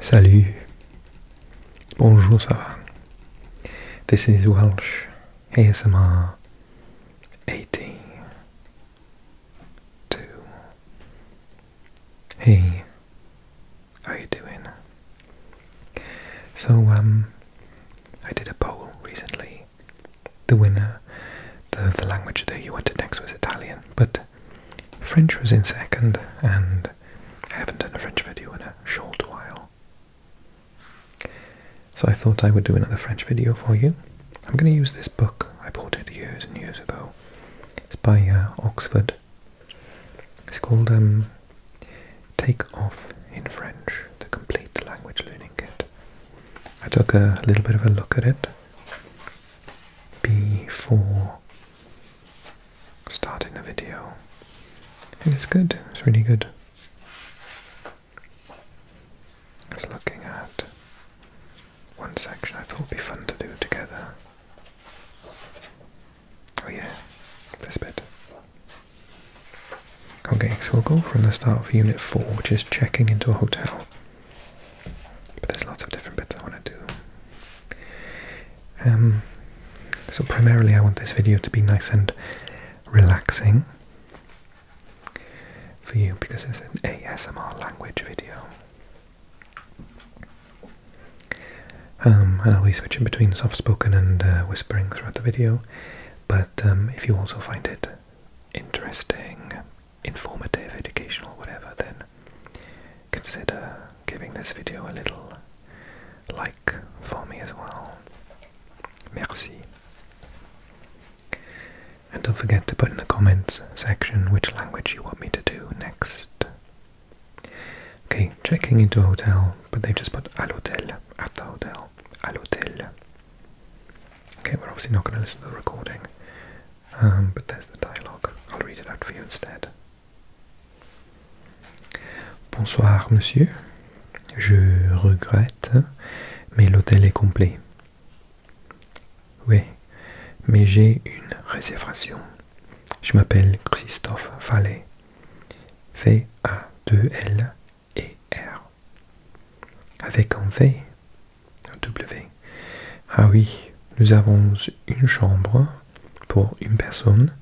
Salut. Bonjour, ça va? This is Welsh ASMR 18. 2. Hey, how you doing? So, um, I did a poll recently. The winner, the, the language that you wanted next was Italian, but French was in second, and I haven't done a French video in a short while. So I thought I would do another French video for you. I'm going to use this book. I bought it years and years ago. It's by uh, Oxford. It's called um, Take Off in French, the Complete Language Learning Kit. I took a little bit of a look at it before starting the video. it's good, it's really good. I was looking at one section I thought it would be fun to do together. Oh yeah, this bit. Okay, so we'll go from the start of Unit 4, which is checking into a hotel. But there's lots of different bits I want to do. Um, so primarily I want this video to be nice and relaxing for you because it's an ASMR language video. Um, and I'll be switching between soft-spoken and uh, whispering throughout the video, but um, if you also find it interesting, informative, educational, whatever, then consider giving this video a little like for me as well. Merci. And don't forget to put in the comments section which language you want me to do next. Okay, checking into a hotel, but they just put à Hotel at the hotel, à l'hôtel. Okay, we're obviously not going to listen to the recording, um, but there's the dialogue. I'll read it out for you instead. Bonsoir, monsieur. Je regrette, mais l'hôtel est complet. Oui, mais j'ai une réservation. Je m'appelle Christophe Fallet. V-A-2-L e R. Avec un V. Un W. Ah oui, nous avons une chambre pour une personne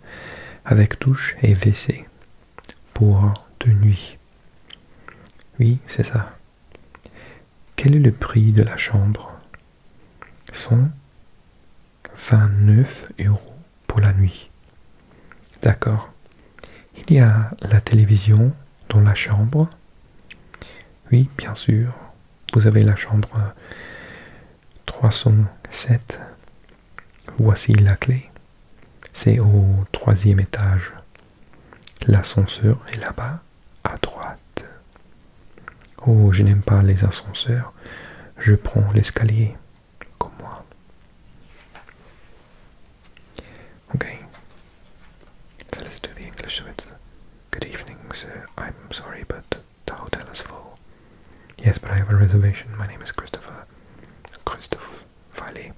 avec douche et WC pour deux nuits. Oui, c'est ça. Quel est le prix de la chambre 129 euros pour la nuit. D'accord. Il y a la télévision dans la chambre Oui, bien sûr. Vous avez la chambre 307. Euh, Voici la clé. C'est au troisième étage. L'ascenseur est là-bas, à droite. Oh, je n'aime pas les ascenseurs. Je prends l'escalier, comme moi. Okay. the English. good evening, I'm sorry, but The hotel is full. Yes, but I have a reservation. My name is Christopher. Christophe Valley.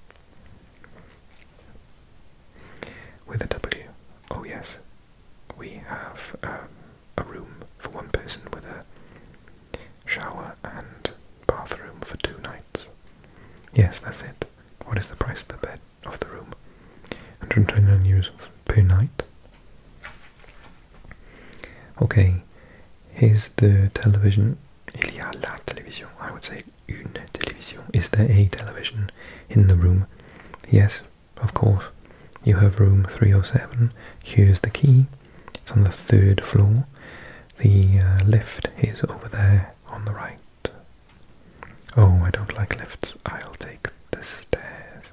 With a W. Oh, yes. We have um, a room for one person with a shower and bathroom for two nights. Yes, that's it. What is the price of the bed of the room? 129 euros per night. Okay, here's the television. Il y a la télévision. I would say une télévision. Is there a television in the room? Yes, of course. You have room 307. Here's the key. It's on the third floor. The uh, lift is over there on the right. Oh, I don't like lifts. I'll take the stairs.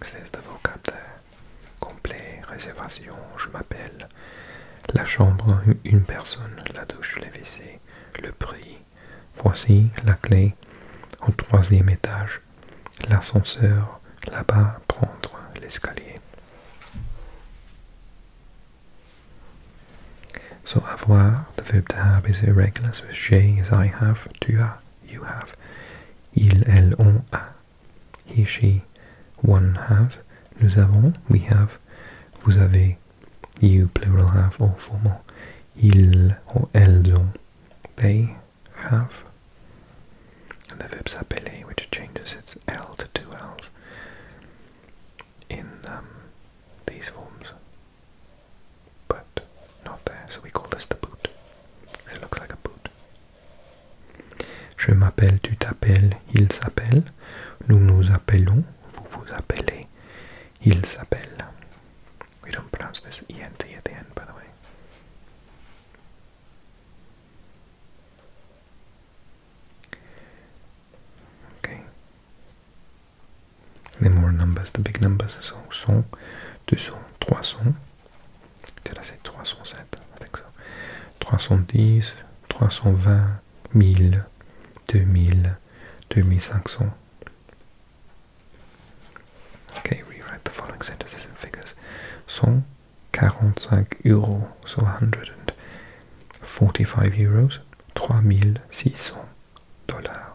C'est le vocabulaire complet, réservation, je m'appelle, la chambre, une personne, la douche, les WC, le prix, voici la clé, au troisième étage, l'ascenseur, là-bas, prendre l'escalier. So avoir, the verb to have, is irregular. So j'ai is I have, tu as, you have. Il, elle, on a. He, she, one has. Nous avons, we have. Vous avez, you, plural have, or formal. Ils or elles they have. And the verb s'appeler, which changes its L to two Ls in um, these forms. but not there, so we call this the boot. It looks like a boot. Je m'appelle, tu t'appelles, il s'appelle, nous nous appelons, vous vous appelez, il s'appelle. We don't pronounce this ENT at the end, by the way. Okay. Les more numbers, the big numbers sont 100, 200, 300. 307? 310, 320, 1000, 2000, 2500. Okay, rewrite the following sentences in figures. 145 euros, so 145 euros, 3600 dollars.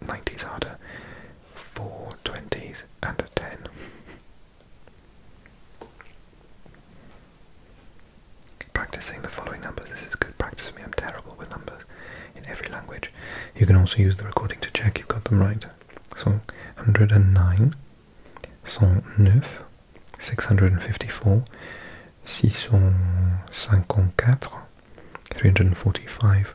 the 90s harder, four 20s, and a 10. Practicing the following numbers. This is good practice for me. I'm terrible with numbers in every language. You can also use the recording to check you've got them right. So 109, neuf. 654, 654, 345,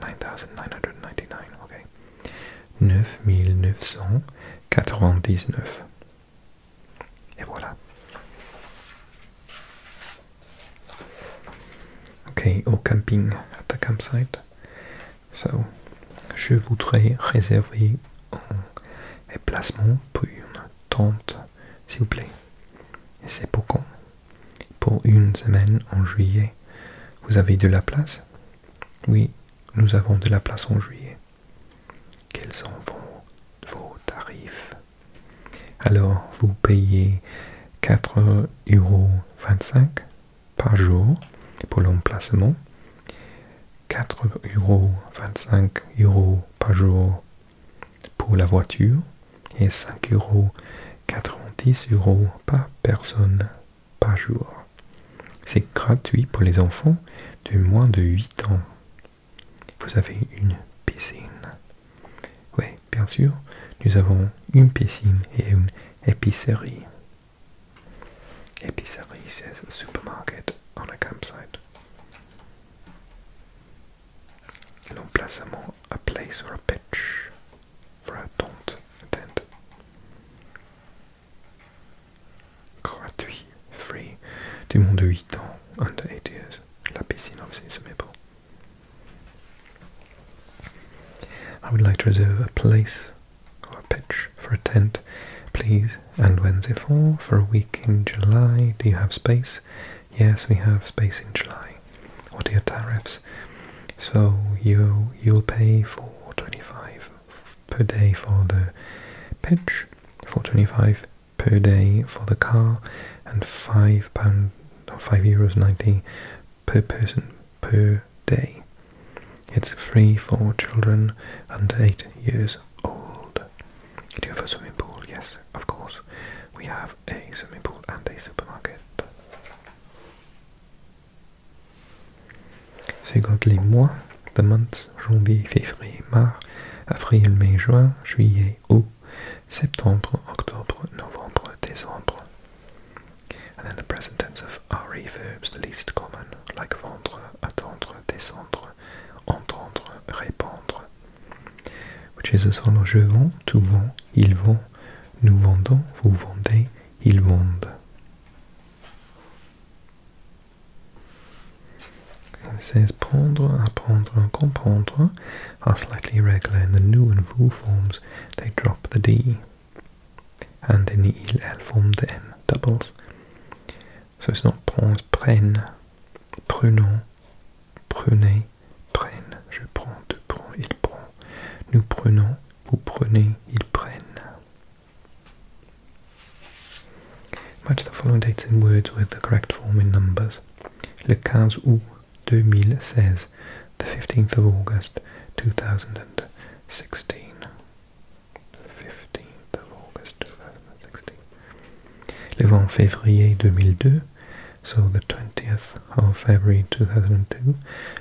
9999, ok. 9999. Et voilà. Ok, au camping, at the campsite. So, je voudrais réserver un emplacement pour une tente, s'il vous plaît. Et c'est pour quand pour une semaine en juillet, vous avez de la place Oui, nous avons de la place en juillet. Quels sont vos, tarifs Alors, vous payez 4,25€ par jour pour l'emplacement, euros par jour pour la voiture, et 5 euros 90 euros par personne par jour. C'est gratuit pour les enfants de moins de 8 ans. Vous avez une piscine. Oui, bien sûr, nous avons une piscine et une épicerie. Épicerie, c'est un supermarket on a campsite. L'emplacement, a place or a pitch. Brad, don't attend. Gratuit, free. Du monde de 8 ans, under 8 years. La piscine obviously is amenable. I would like to reserve a place or a pitch for a tent, please. And Wednesday for for a week in July. Do you have space? Yes, we have space in July. What are your tariffs. So you you'll pay twenty five per day for the pitch, twenty five per day for the car, and five pound or five euros ninety per person per day. It's free for children under eight years old. Do you have a swimming pool? Yes, of course. We have a swimming pool and a supermarket. C'est les mois, the months, janvier, février, mars, avril, mai, juin, juillet, août, septembre, octobre, novembre, décembre. And then the present tense of RE verbs, the least common, like vendre, attendre, descendre, entendre, répondre, Which is as je vends, tout vends, ils vont, nous vendons, vous vendez, ils vendent. says prendre, apprendre, comprendre are slightly irregular in the nu and vous forms, they drop the d, and in the il form the n doubles. So it's not prendre, prenne, prenons, prenez, prenez, je prends, tu prends, il prend, nous prenons, vous prenez, ils prennent. Match the following dates in words with the correct form in numbers. Le 15 août 2016, the 15th 2016. The 15th of August 2016. Le 20 février 2002, so the 20th of February 2002,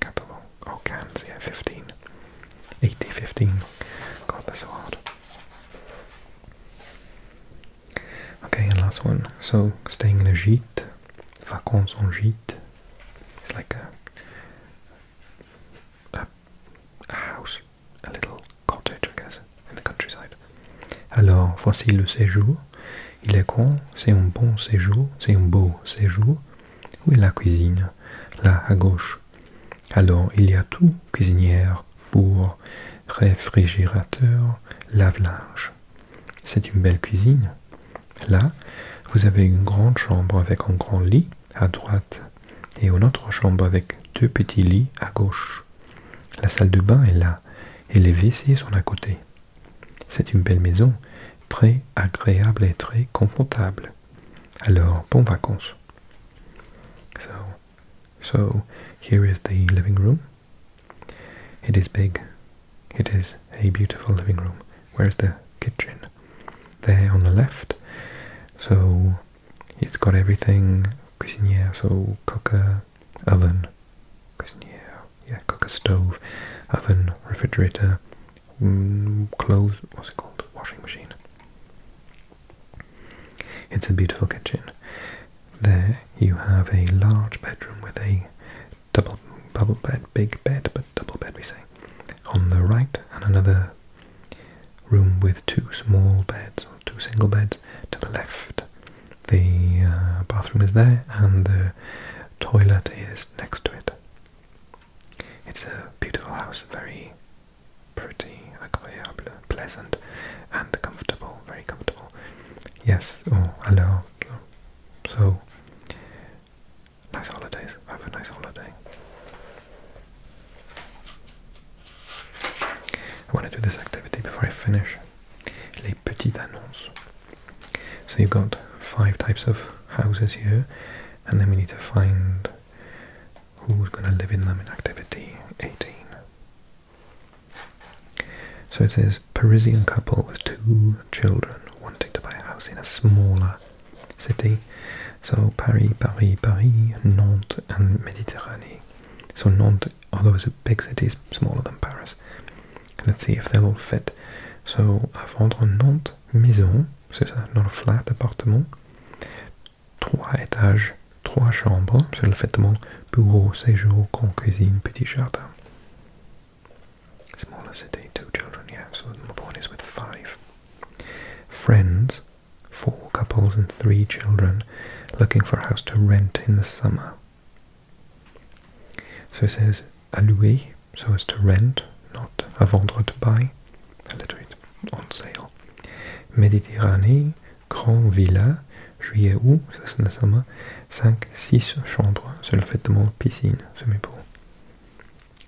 Capable. Oh, cans, 15. 80, 15. God, that's so hard. Okay, and last one. So, staying in a gîte, vacances en gîte. It's like a, house, a little cottage, I guess, in the countryside. Alors, voici le séjour. Il est con. c'est un bon séjour, c'est un beau séjour. Où est la cuisine Là, à gauche. Alors il y a tout cuisinière, four, réfrigérateur, lave-linge. C'est une belle cuisine. Là, vous avez une grande chambre avec un grand lit à droite et une autre chambre avec deux petits lits à gauche. La salle de bain est là et les WC sont à côté. C'est une belle maison, très agréable et très confortable. Alors, bon vacances. So, so here is the living room. It is big. It is a beautiful living room. Where's the kitchen? There on the left. So it's got everything cuisinière, so cooker, oven, cuisinière, yeah, cooker stove, oven, refrigerator, Mm, clothes, what's it called, washing machine. It's a beautiful kitchen. There you have a large bedroom with a double double bed, big bed, but double bed we say. On the right, and another room with two small beds, or two single beds, to the left. The uh, bathroom is there, and the toilet is next to it. It's a beautiful house, very pretty, agréable, uh, pleasant, and comfortable, very comfortable. Yes, oh, hello. So, nice holidays. Have a nice holiday. I want to do this activity before I finish. Les petites annonces. So you've got five types of houses here, and then we need to find who's going to live in them in activity 18. So it says Parisian couple with two children wanting to buy a house in a smaller city. So Paris, Paris, Paris, Nantes and Méditerranée. So Nantes, although it's a big city, is smaller than Paris. Let's see if they'll all fit. So à vendre Nantes maison c'est ça, non flat appartement. Trois étages, trois chambres, c'est le plus bureau, séjour, con cuisine, petit jardin. Smaller city, two children, yeah, so my point is with five. Friends, four couples and three children, looking for a house to rent in the summer. So it says à louer, so as to rent, not à vendre to buy. little literally on sale. Méditerranée, Grand Villa, juillet août, ça c'est nécessairement 5, 6 chambres, c'est le fait de mon swimming pool.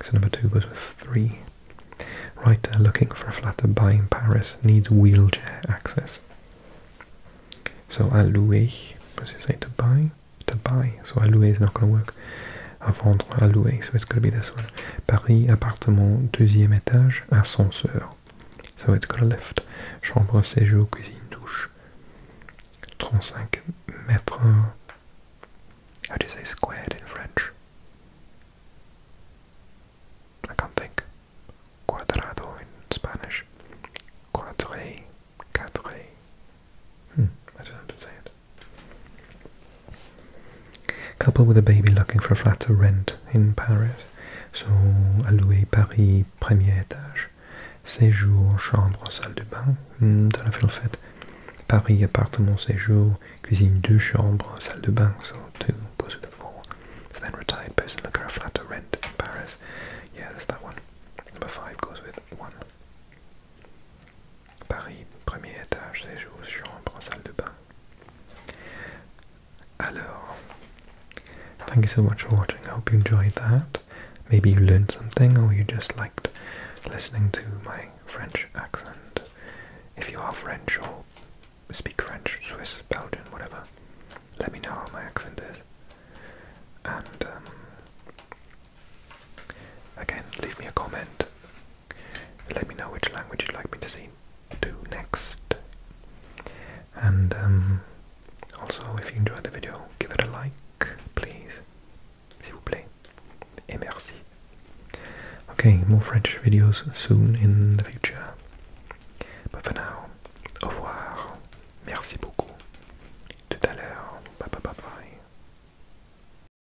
So number two goes with three. Writer uh, looking for a flat to buy in Paris needs wheelchair access. So a louer, does it say to buy? To buy, so a is not going to work. à vendre, à louer. So it's gonna be this one. Paris, appartement, deuxième étage, ascenseur. So it's got a lift. Chambre, séjour, cuisine, douche. 35 mètres. How do you say squared in French? I can't think. Cuadrado in Spanish. Quadré, cadré. Hmm, I don't know how to say it. Couple with a baby looking for a flat to rent in Paris So, alloué Paris, premier étage, séjour, chambre, salle de bain, dans hmm, la fête. Paris, appartement, séjour, cuisine, deux chambres, salle de bain, so two goes with the four. So then retired person looking for a flat to rent in Paris. Yeah, that's that one. Number five goes with one. Paris, premier étage, séjour, chambre, salle de bain. Alors, thank you so much for watching. I hope you enjoyed that. Maybe you learned something or you just liked listening to my French accent. If you are French or speak French, Swiss, Belgian, whatever, let me know how my accent is. And um, again, leave me a comment. Let me know which language you'd like me to see do next. And um, also, if you enjoyed the video, give it a like, please. S'il vous plaît. Et merci. Okay, more French videos soon in the future. But for now, au revoir. Merci beaucoup. Tout à l'heure. Bye bye bye bye.